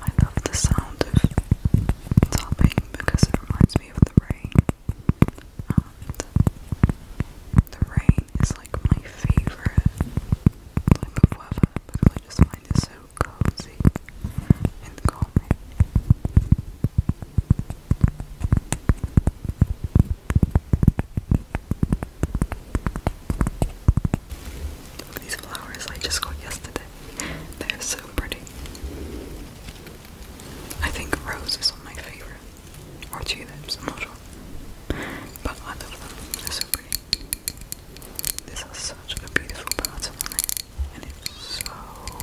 I love the sound of tapping because it reminds me of the rain. And the rain is like my favorite type of weather because so cozy and calming these flowers I just got yesterday. They're so pretty. I think roses are my favourite. Or tulips, i not sure. But I love them. they so pretty. This has such a beautiful pattern And it's so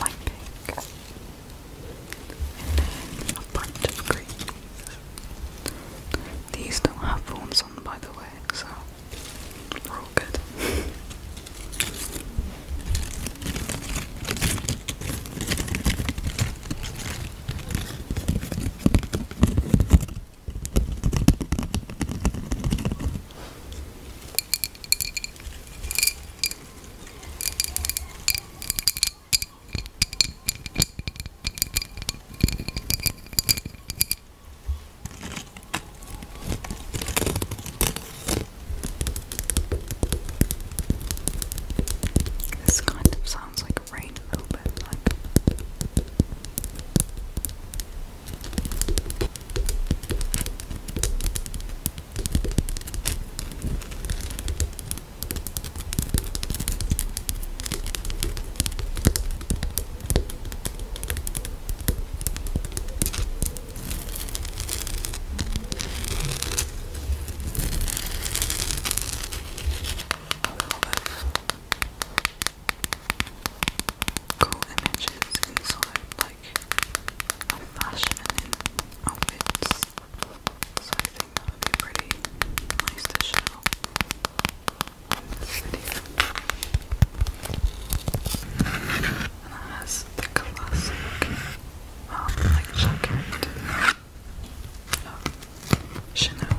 light pink, and then a bunch of greens. These don't have forms on, by the way, so we're all good. This kind of sounds like rain a little bit like cool images inside by like fashion and outfits. So I think nice to show in this video. And it has the classic um, like um, Chanel.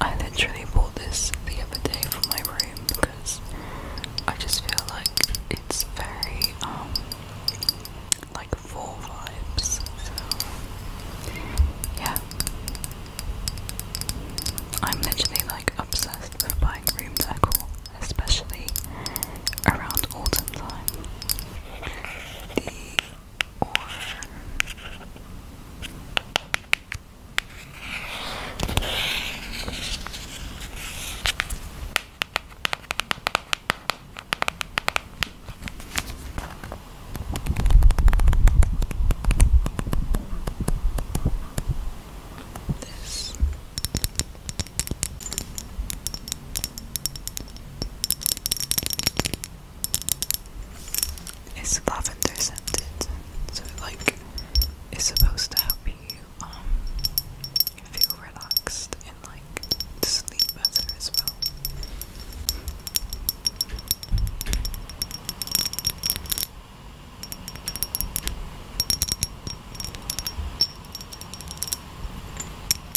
I literally bought this the other day for my room because I just feel like it's very um like fall vibes. yeah. I'm literally like obsessed with buying room decor, especially around autumn time or this it's lavender scented, so like it's supposed to help you um feel relaxed and like sleep better as well.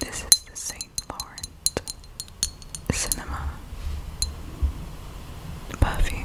This is the St. Laurent Cinema Buffy.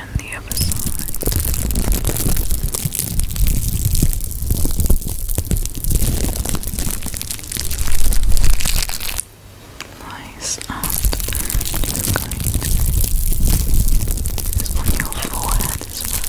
and the other side. Nice, and just going on your forehead as well.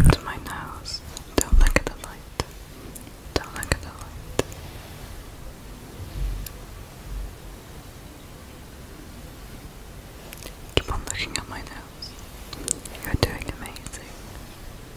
To my nose. Don't look at the light. Don't look at the light. Keep on looking at my nose. You're doing amazing.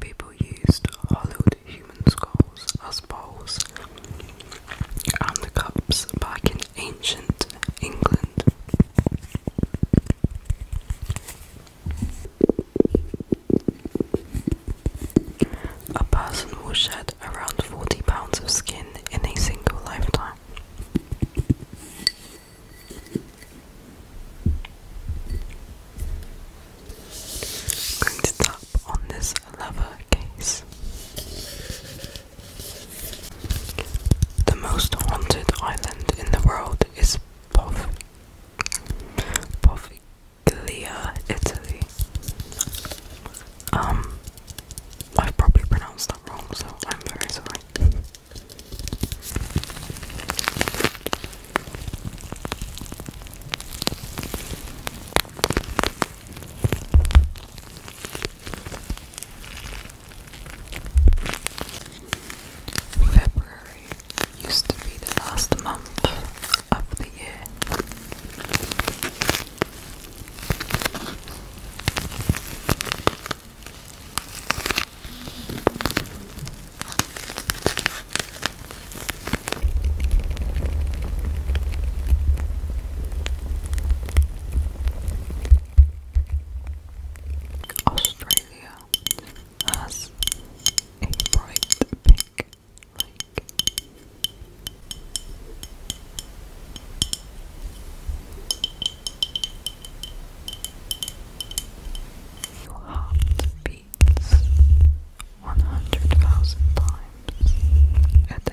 People used hollowed human skulls as bowls and cups back in ancient England. A person will shed around 40 pounds of skin in a single lifetime camera. i tap on this leather case. The most haunted island in the world is Pov Poviglia, Italy. Um, I've probably pronounced that wrong, so I'm very sorry. February used to be the last month of the year. Australia has a bright pink lake. Your heart beats 100,000 times a day.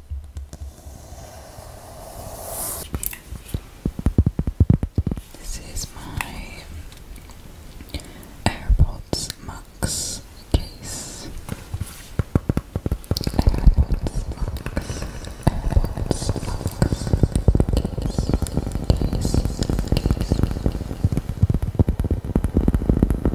This is my AirPods Max case. AirPods Max, AirPods Max case,